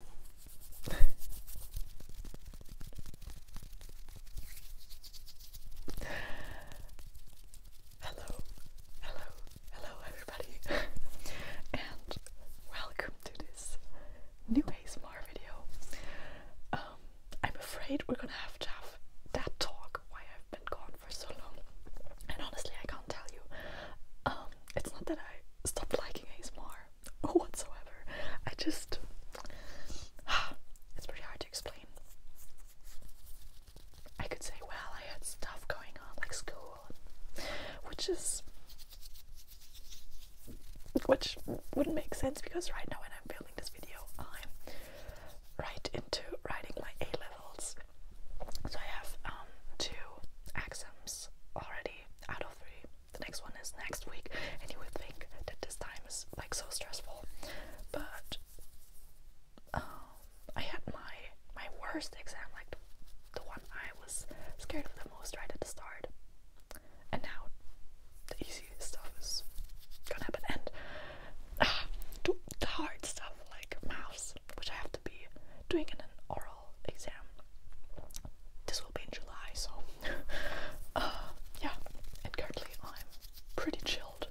hello, hello, hello, everybody, and welcome to this new ASMR video. Um, I'm afraid we're gonna have to have that talk why I've been gone for so long, and honestly, I can't tell you. Um, it's not that I stopped liking ASMR. whatsoever. I just. It's pretty hard to explain. I could say, well, I had stuff going on, like school, which is. which wouldn't make sense because right now, when I'm filming this video, I'm right into writing my A levels. So I have um, two axioms already out of three the next one is next week, and you would think that this time is like so stressful, but um, I had my my worst exam, like the, one I was scared of the most right at the start, and now the easiest stuff is gonna happen, and uh, the hard stuff like maths, which I have to be doing in an oral oral exam. This will be in July, so uh, yeah. And currently, I'm pretty chilled,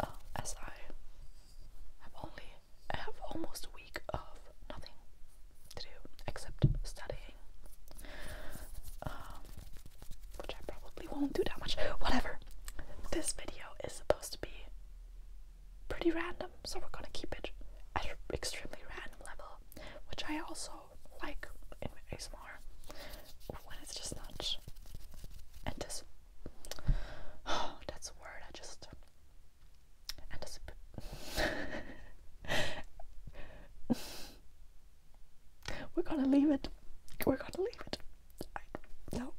uh, as I have only have almost a week of nothing to do except studying, um, which I probably won't do that much. Whatever. This video is supposed to be pretty random, so we're gonna keep it at an extremely random level which I also like in my ASMR when it's just not anticipatory. Oh, that's a word I just anticipate. We're gonna leave it. We're gonna leave it. no.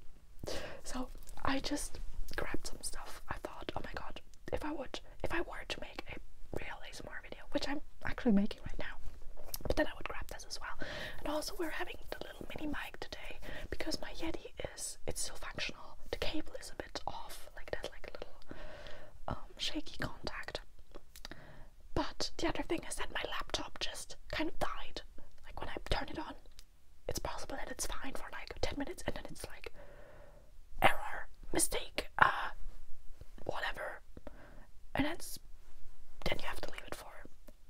So I just grabbed some stuff. I thought, oh my god, if I would if I were to make a really ASMR video, which I'm actually making right now, but then I would grab this as well. And also we're having the little mini mic today because my Yeti is it's still functional. The cable is a bit off, like that, like a little um, shaky contact. But the other thing is that my laptop just kind of died. Like when I turn it on, it's possible that it's fine for like 10 minutes and then it's like error, mistake, uh, whatever. And that's, then you have to leave it for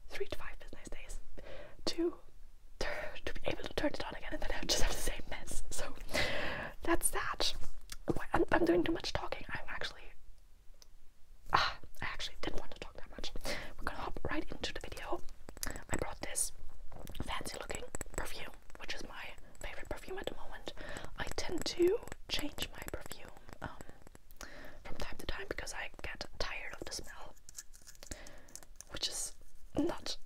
three to five business days to, to be able to turn it on again, and then I just have the same mess. So that's that. I'm, I'm doing too much talking. I'm actually. Ah, I actually didn't want to talk that much. We're gonna hop right into the video. I brought this fancy looking perfume which is my favorite perfume at the moment. I tend to change my perfume um, from time to time because I get tired of the smell, which is not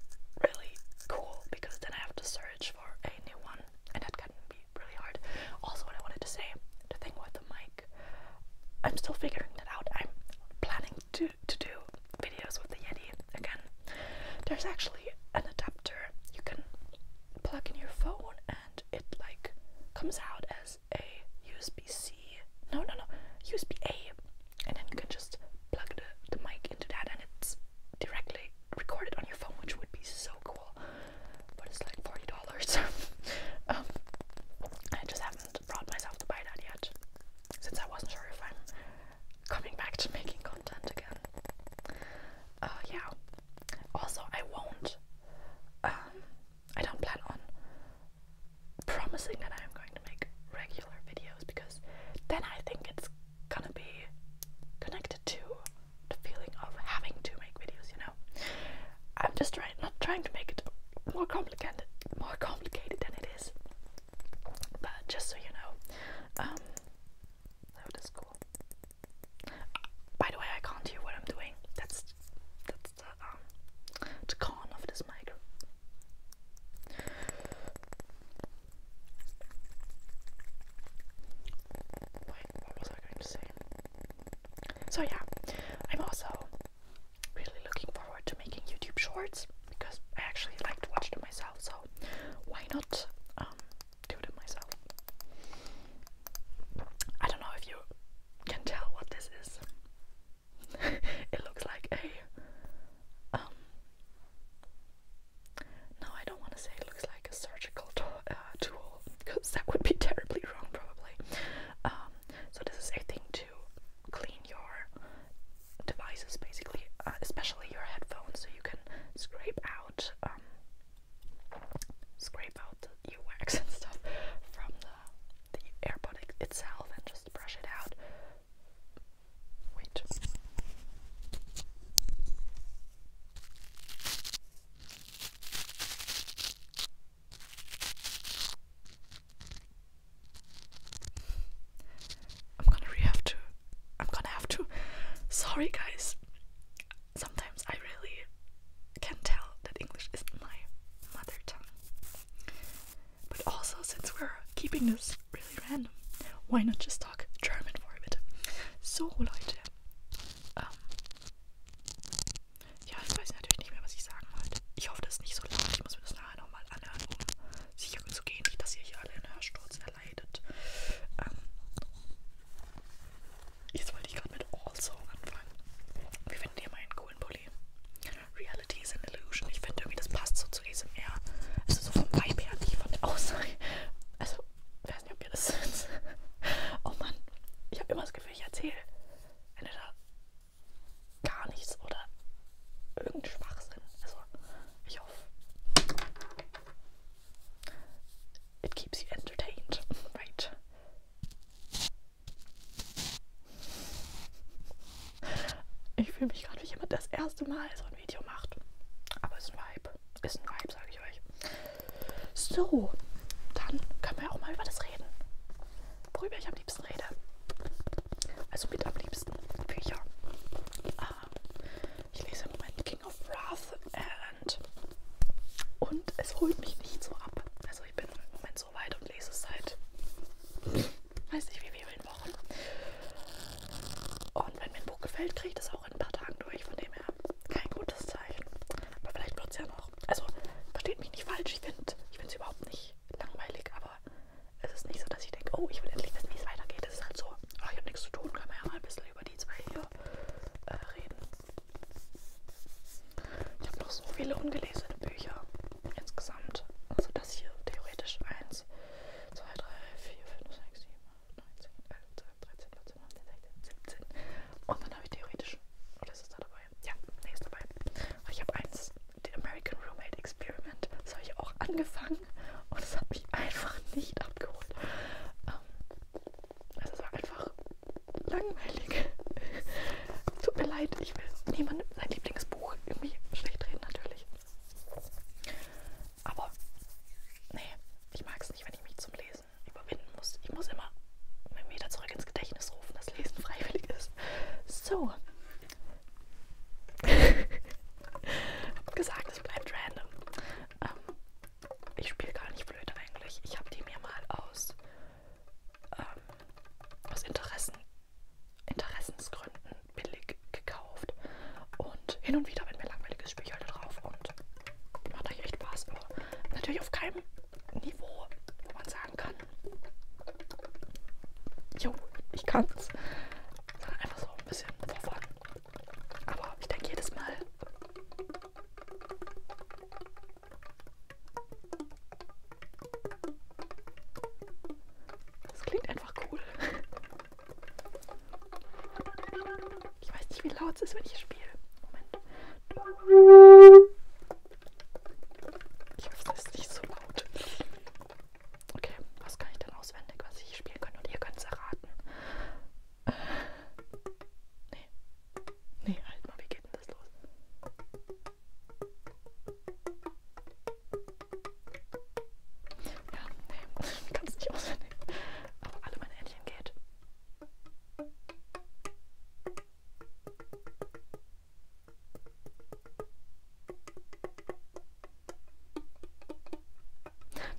really cool because then I have to search for a new one, and that can be really hard. Also, what I wanted to say, the thing with the mic, I'm still figuring that out. I'm planning to to do videos with the Yeti again. There's actually an adapter you can plug in your phone and it like comes out as a USB C. No, no, no, USB A. And then you can just plug the, the mic into that and it's directly recorded on your phone, which would be so cool. But it's like $40. Um, I just haven't brought myself to buy that yet since I wasn't sure if I'm coming back to making content again. Uh, yeah. Also, I won't. Um, I don't plan on promising that I'm going to make regular videos because then I think it's gonna be connected to the feeling of having to make videos. You know, I'm just trying not trying to make it more complicated, more complicated than it is. But just so you know, um, that is cool. By the way, I can't hear what I'm doing. That's that's the um the con of this mic. Wait, what was I going to say? So yeah, I'm also really looking forward to making YouTube shorts because I actually like to watch them myself. So why not um, do it myself. I don't know if you can tell what this is. it looks like a um no, I don't want to say it looks like a surgical uh, tool because that would be terribly wrong, probably. Um, so this is a thing to clean your devices, basically, uh, especially your headphones, so you can scrape out. Um, scrape out the wax and stuff from the, the AirPod itself and just brush it out. Wait. I'm gonna have to. I'm gonna have to. Sorry, guys. Sometimes I really can not tell that English isn't my mother tongue. But also, since we're keeping this really random, why not just talk German for a bit? So, Leute. Ähm, ja, ich weiß natürlich nicht mehr, was ich sagen wollte. Ich hoffe, das nicht so laut. Ich muss mir das nachher nochmal anhören, um sicher zu gehen, nicht, dass ihr hier alle einen Hörsturz verleidet. Ähm, jetzt wollte ich gerade mit Also anfangen. Wie findet ihr meinen coolen Pulli? Reality is an Illusion. Ich finde irgendwie, das passt so zu ASMR. Also so vom Vibe her, nicht von der Aussage. Also, ich weiß nicht, ob ihr das seht. Oh Mann, ich habe immer das Gefühl, ich erzähle entweder gar nichts oder irgendeinen Schwachsinn. Also, ich hoffe it keeps you entertained, right? Ich fühle mich gerade wie jemand, der das erste Mal so ein Video macht. Aber ist ein Vibe. Ist ein Vibe, sage ich euch. So, dann können wir auch mal über das reden. Worüber ich am liebsten rede. Also mit am liebsten Bücher. Ah, ich lese im Moment King of Wrath and und es holt mich nicht so ab. Also ich bin im Moment so weit und lese es seit weiß nicht wie vielen Wochen. Und wenn mir ein Buch gefällt, kriege ich das auch in ein paar Tagen durch. Von dem her kein gutes Zeichen. Aber vielleicht wird es ja noch. Also versteht mich nicht falsch. Ich finde ich es überhaupt nicht langweilig. Aber es ist nicht so, dass ich denke, oh, ich will endlich wissen, wie es weitergeht. Es ist halt so, oh, ich habe nichts zu tun, kann man ja mal ein bisschen über die zwei hier äh, reden. Ich habe noch so viele ungelesene Bücher insgesamt. Also das hier theoretisch 1, 2, 3, 4, 5, 6, 7, 8, 9, 10, 11, 12, 13, 14, 15, 16, 17. Und dann habe ich theoretisch, oder oh, ist es da dabei? Ja, nee, ist dabei. Und ich habe eins, The American Roommate Experiment. Das habe ich auch angefangen. Und es hat mich einfach nicht abgeholt. Ähm, also es war einfach langweilig. Tut mir leid, ich will niemandem sein Lieblingsbuch irgendwie schlecht reden, natürlich. Aber nee, ich mag es nicht, wenn ich mich zum Lesen überwinden muss. Ich muss immer wieder zurück ins Gedächtnis rufen, dass Lesen freiwillig ist. So. Hab gesagt, es bleibt random. Ähm, ich spiele gar nicht Flöte eigentlich. Ich habe die mir mal aus, ähm, aus Interessen, Interessensgründen billig gekauft. Und hin und wieder, wenn mir langweilig ist, spiele ich halt drauf und macht euch echt Spaß. Aber natürlich auf keinem Niveau, wo man sagen kann, jo, ich kann's. Sondern einfach so ein bisschen verfolgen. Aber ich denke jedes Mal. Das klingt einfach cool. Ich weiß nicht, wie laut es ist, wenn ich spiele. Moment. Ich hoffe, es ist nicht so laut. Okay, was kann ich denn aus? auswendig, was ich spielen kann und ihr könnt es erraten. Äh, nee. Nee, halt mal, wie geht denn das los? Ja, nee, ich kann es nicht auswendig. Aber alle meine Händchen geht.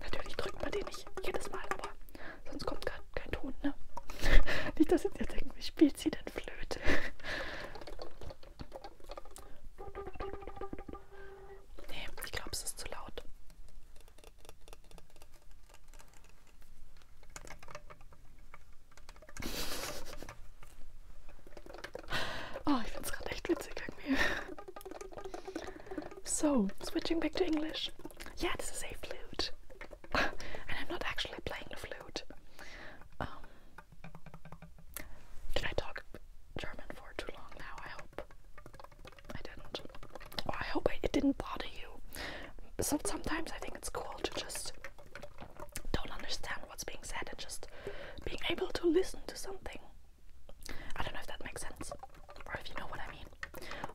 Natürlich drückt man den nicht jedes Mal, aber sonst kommt kein, kein Ton, ne? nicht, dass jetzt denken, wie spielt sie denn Flöte? nee, ich glaube, es ist zu laut. Oh, ich finde es gerade echt witzig irgendwie. So, switching back to English. Yeah, this is a flute. and I'm not actually playing the flute. Um, did I talk German for too long now? I hope I didn't. Oh, I hope it didn't bother you. sometimes I think it's cool to just don't understand what's being said and just being able to listen to something I don't know if that makes sense, or if you know what I mean.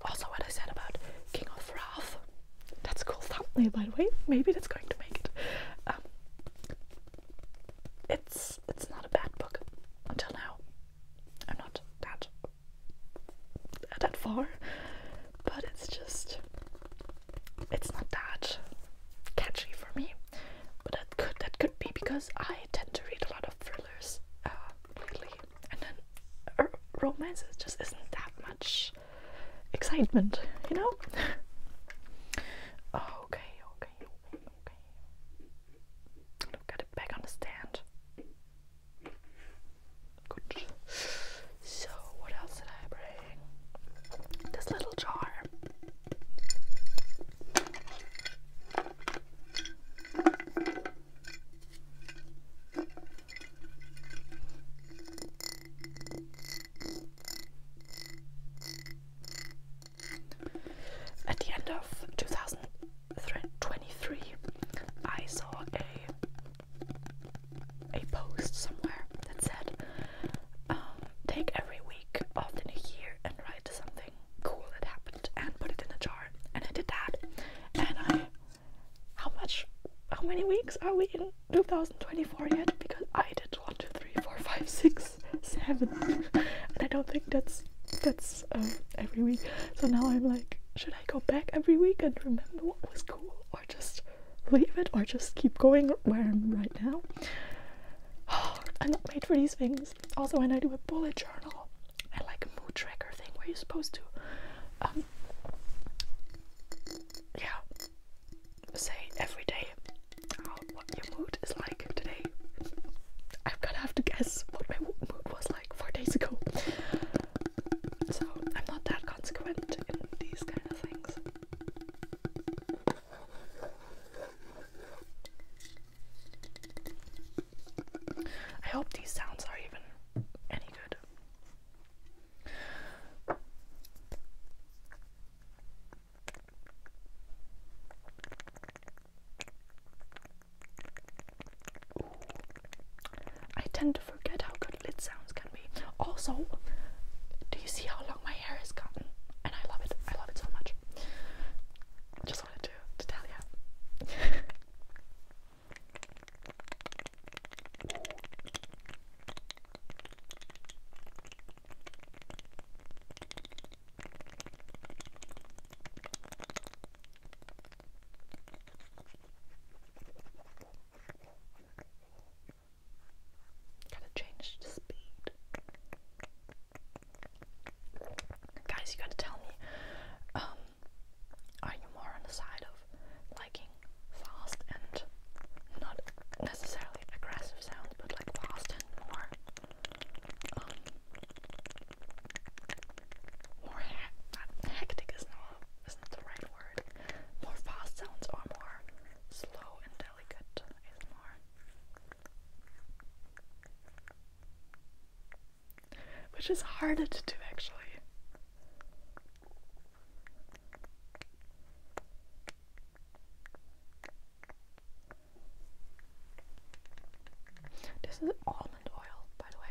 Also, what I said about King of Wrath, that's a cool thumbnail, by the way. Maybe that's going to make it. Um, it's it's not a bad book until now. I'm not that that far, but it's just it's not that catchy for me. But that could that could be because I tend to read a lot of thrillers there's uh, lately. And then uh, romances just isn't that much excitement, you know? okay, okay, okay, okay. i it back on the stand. So, what else did I bring? This little jar. At the end of 2023, I saw a a post somewhere that said, um, "Take every week of the new year and write something cool it happened and put it in a jar. And I did that. And I, how much, how many weeks are we in 2024 yet? Because I did one, two, three, four, five, six, seven, and I don't think that's that's um, every week. So now I'm like, should I go back every week and remember what was cool, or just leave it, or just keep going where I'm right now? I'm not made for these things. Also, when I do a bullet journal, I like a mood tracker thing where you're supposed to, um, yeah, say every day what your mood is like today. I'm gonna have to guess what my mood was like four days ago. So I'm not that consequent in these kind of things. I hope these sounds are even any good. I tend to forget how good lid sounds can be. Also, do you see how long my hair has gotten? And I love it. I love it so much anyway, just wanted to, to tell you. Gotta change the speed. Guys, you gotta tell me. Um, are you more on the side of liking fast and not necessarily aggressive sounds, but like fast and more, um, more uh, hectic is not isn't the right word. More fast sounds or more slow and delicate which is harder to do actually. This is almond oil, by the way.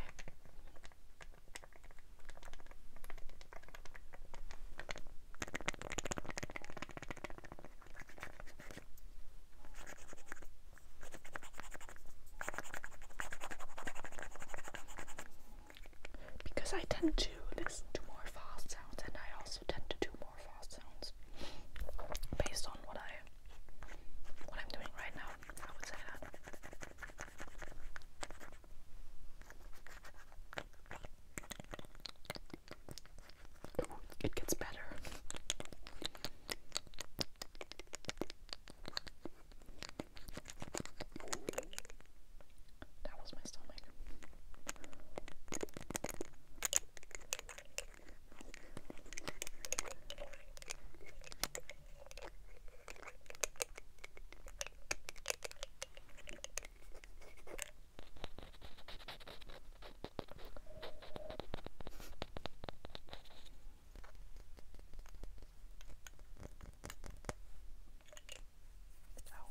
Because I tend to listen to more fast sounds and I also tend to do more fast sounds based on what I what I'm doing right now, I would say that. it gets better. That was my stomach. Ow.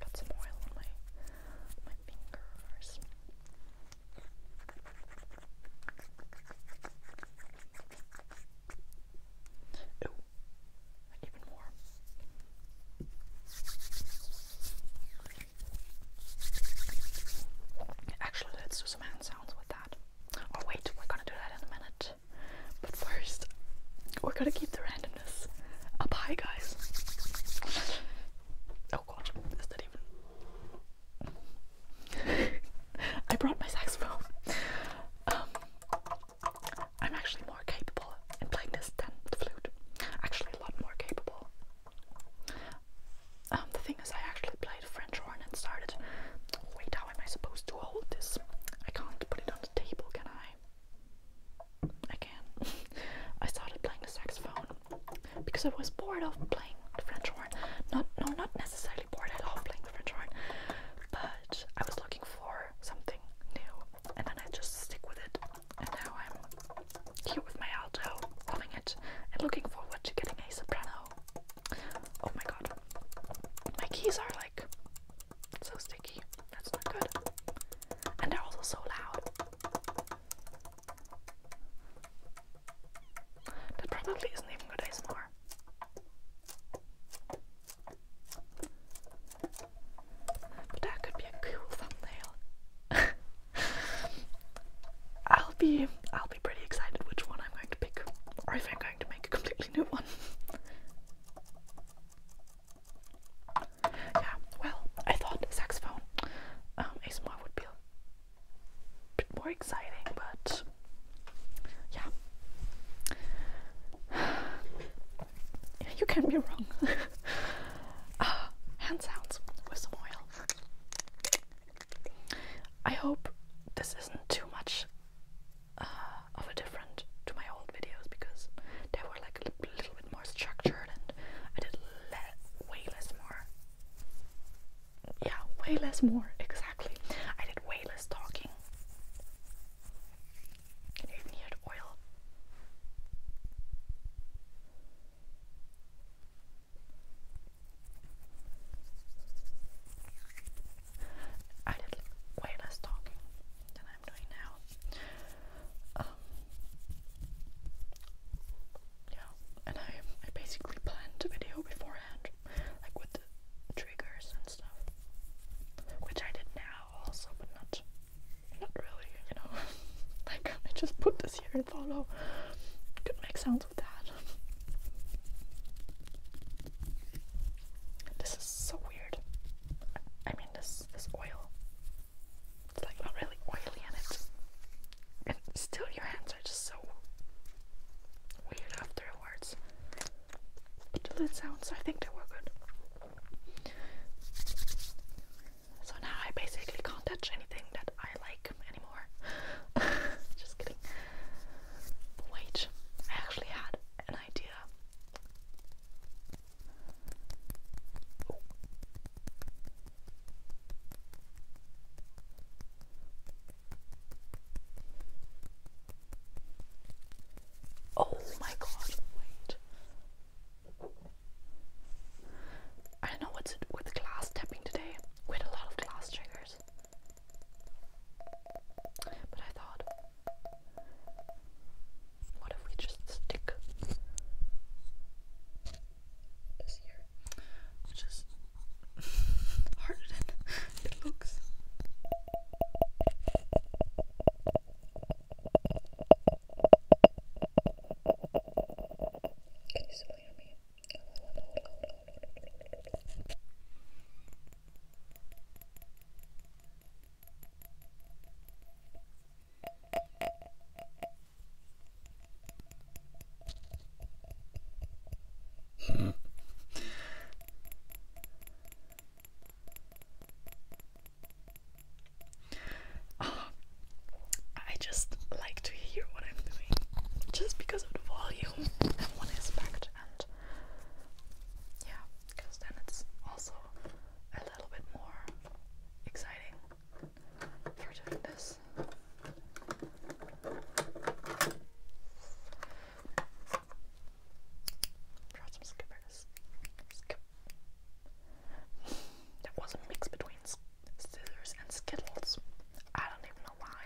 Got some oil on my my fingers. Ooh, even more. Actually, let's do some hand sounds with that. Oh wait, we're gonna do that in a minute. But first, we're gonna keep the randomness up high, guys. oh god, is that even? I brought my saxophone. Um, I'm actually more capable in playing this than the flute. Actually, a lot more capable um, the thing is, I actually played French horn and started. Wait, how am I supposed to hold this? I can't put it on the table, can I? I can. I started playing the saxophone because I was bored of playing the French horn. Not, no, not necessarily bored. I love playing the French horn, but I was looking for something new, and then I just stick with it. And now I'm here with my alto, loving it, and looking forward to getting a soprano. Oh my god. My keys are like so sticky. That's not good. And they're also so loud. That probably isn't even good ASMR. But that could be a cool thumbnail. I'll be I'll be pretty excited which one I'm going to pick, or if I'm going to make a completely new one. yeah, well, I thought saxophone um, ASMR would be a bit more exciting, but yeah, you can be wrong. Ah, hand sounds with some oil. I hope this isn't too much uh, of a different to my old videos because they were like a little bit more structured and I did way less more. Yeah, way less more, exactly. I did way less talking. you even oil? I did way less talking than I'm doing now. Um, yeah, and I, I basically planned the video beforehand, like with the triggers and stuff, which I did now also, but not not really, you know. like I just put this here and follow. oh, could make sounds with that. This is so weird. I mean, this this oil. It's like not really oily, and it's and still your hands are just so weird afterwards. But the lid sounds, I think they were good. So now I basically can't touch anything that I like anymore. Just kidding. wait, I actually had an idea. oh my god, wait. I do know what's with glass tapping today. We had a lot of glass triggers. But I thought, what if we just stick this here? Just harder than it looks. Can you still hear me? I just like to hear what I'm doing just because of the volume and one aspect, and yeah, because then it's also a little bit more exciting for doing this. Brought some skippers. That was a mix between scissors and skittles. I don't even know why.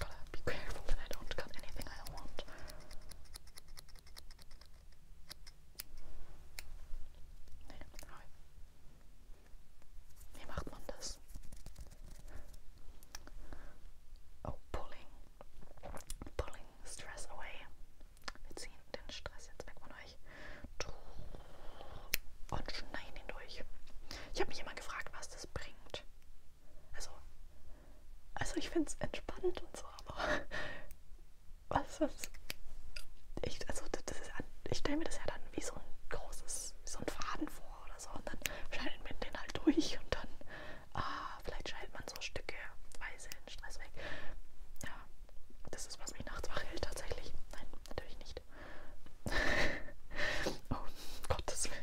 Gotta be careful that I don't cut anything I don't want. Nee, hoi. Wie macht man das? Oh, pulling. Pulling stress away. Wir ziehen den Stress jetzt weg von euch und schneiden ihn durch. Ich habe mich immer gefragt, was das bringt. Also, also ich finde es entspannend und so, aber was ist ich, also das ist, ich stelle mir das ja dann wie so ein großes, wie so ein Faden vor oder so und dann schneiden wir den halt durch und dann, ah, vielleicht schaltet man so Stücke weise den Stress weg. Ja, das ist, was mich nachts wach hält tatsächlich. Nein, natürlich nicht. oh, Gottes Willen.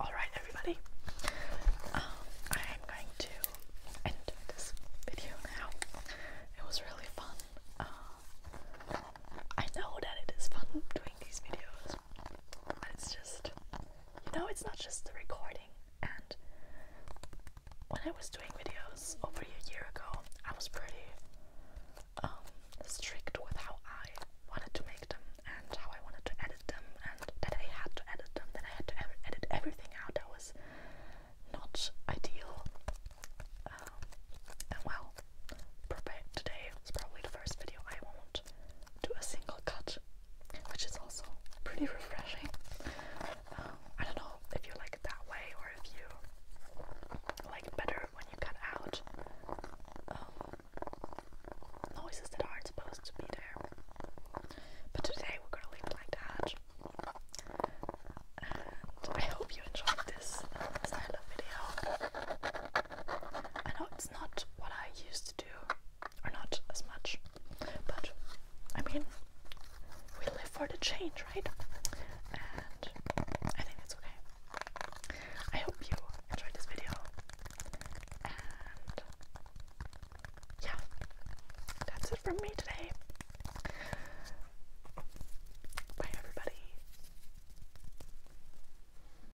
All right, everybody. Um, I am going to end this video now. It was really fun. Uh, I know that it is fun doing these videos, it's just, you know, it's not just the recording. And when I was doing videos over a year ago, I was pretty um, strict with how I wanted to make them and how I wanted to edit them, and that I had to edit them, that I had to edit everything out that was not ideal. Um, and well, today is probably the first video I won't attached to a single cut, which is also pretty refreshing. Um, I don't know if you like it that way or if you like it better when you cut out um, noises that aren't supposed to be there. But today we're gonna leave like that. And I hope you enjoyed this style video. I know it's not what I used to do, or not as much, but I mean, we live for the change, right? And I think it's okay. I hope you enjoyed this video, and yeah, that's it from me today. Bye, everybody.